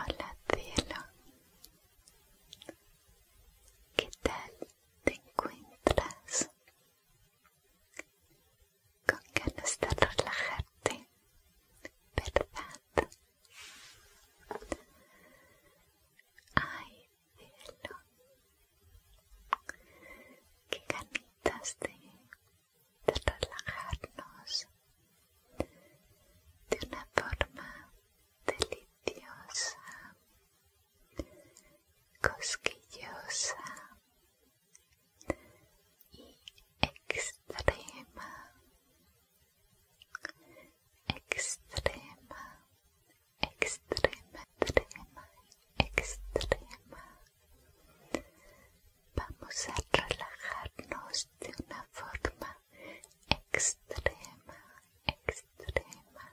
Hola cielo, ¿qué tal te encuentras? Con ganas de relajarte, ¿verdad? Ay, Qué de relajarnos de una forma deliciosa, cosquillosa y extrema extrema, extrema, extrema, extrema. Vamos a relajarnos de una forma extrema, extrema,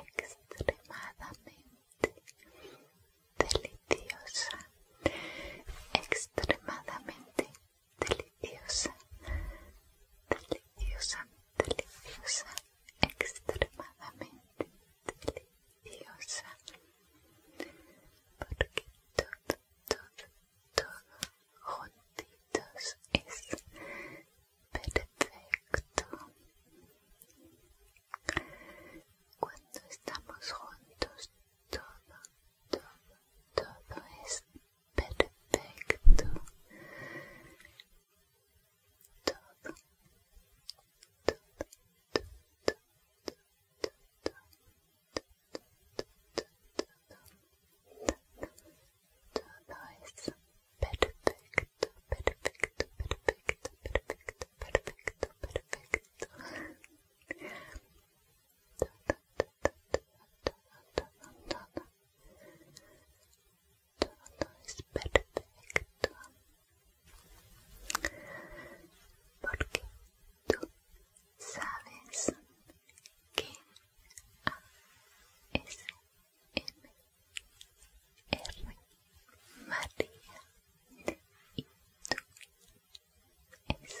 extremadamente deliciosa, extremadamente deliciosa, deliciosa, deliciosa, extremadamente deliciosa, porque todo, todo, todo juntitos es perfecto. Cuando estamos juntos, todo todo es perfecto, todo, todo, todo, todo, todo, todo, todo es perfecto, perfecto, perfecto, perfecto, perfecto, perfecto todo es perfecto porque tú sabes que A M R María y tú es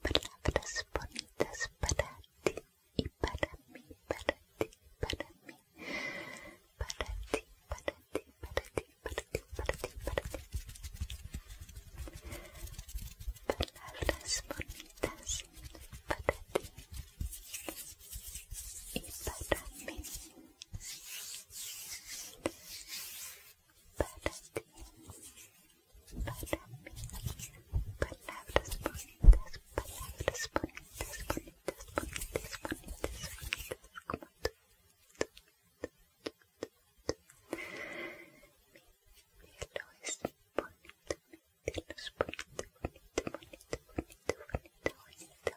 palabras bonitas para ti y para mí, para ti, para mí, para ti, para Palabras bonitas para ti y para mí. ti para mí. Palabras bonitas, palabras bonitas, bonitas, bonitas, bonitas, bonitas, como tú. Mi cielo es bonito, cielo es bonito, bonito, cielo,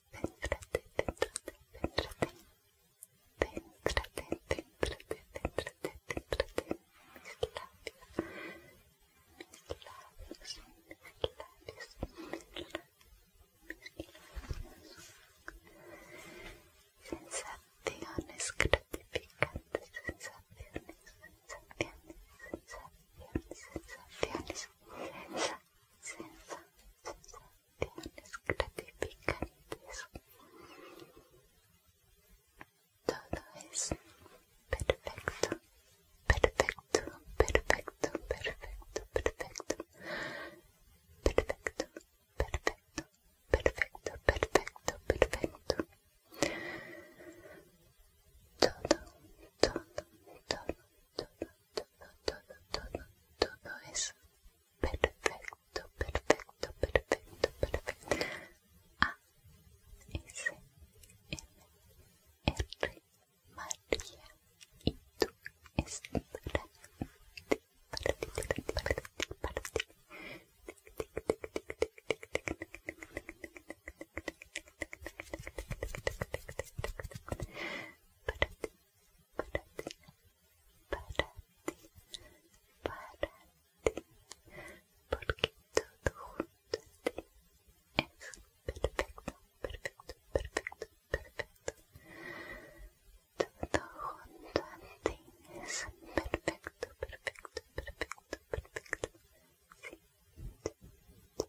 céntrate, céntrate, mis en mis labios, mis labios, mis labios, mis labios, sensaciones gratificantes, sensaciones, sensaciones, sensaciones, sensaciones sensaciones Todo es perfecto, perfecto, perfecto, perfecto, perfecto, perfecto, perfecto, perfecto, perfecto, perfecto. todo, todo, todo, todo, todo es perfecto, perfecto, perfecto, perfecto. A, S, M, R, María, y tú es para ti, para ti, para ti, para ti, porque todo junto es perfecto, perfecto, perfecto, perfecto. Todo junto es perfecto, perfecto, perfecto, perfecto.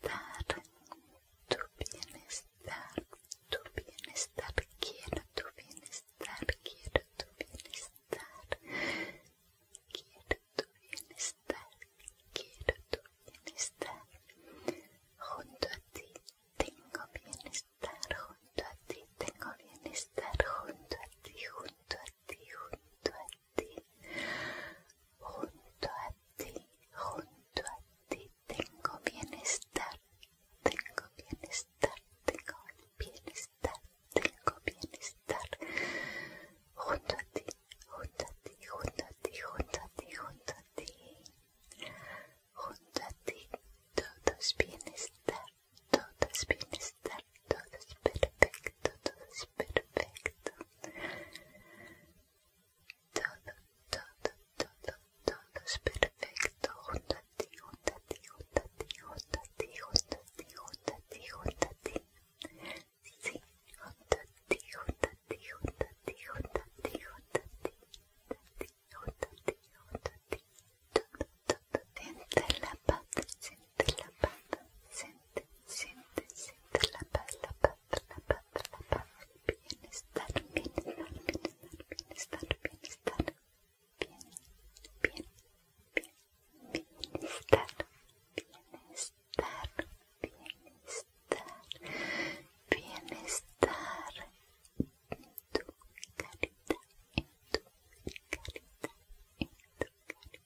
bienestar, tu bienestar, tu bienestar, quiero tu bienestar, quiero tu bienestar, quiero tu bienestar, quiero tu bienestar, junto a ti tengo bienestar, junto a ti tengo bienestar, junto a ti, junto a ti, junto a ti, junto a junto a ti tengo bienestar, tengo bienestar, tengo bienestar, tengo bienestar, junto a ti, junto a ti, junto a ti, junto a ti, junto a ti, junto a ti, todos bienestar, todos bienestar, todo perfecto, todo es perfecto todo, todo, todo, todo es perfecto, sí, siente la pata siente la pata siente, siente, siente la pata paz bienestar, bienestar, bienestar, bien, estar bien, bienestar, bienestar, bienestar, bienestar,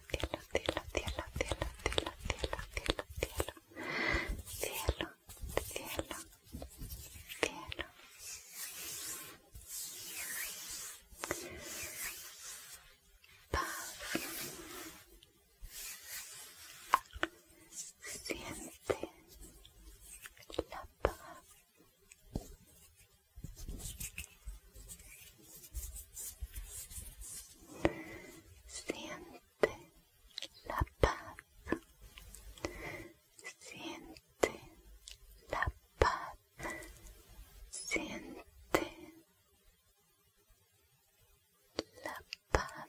cielo, cielo, cielo, cielo, cielo, cielo, cielo, cielo, cielo, cielo, Paz. Siente la paz. Siente la paz. Siente la paz. Siente la paz.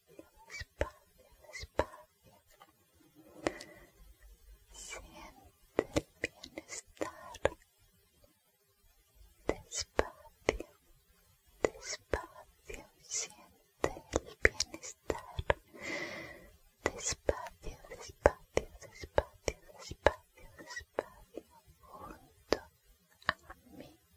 despacio, despacio. Siente el bienestar. Despacio, despacio, siente el bienestar. Despacio, despacio, despacio, despacio, despacio, junto a mí.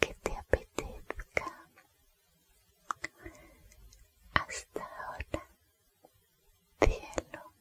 que te apetezca. Hasta ahora, cielo.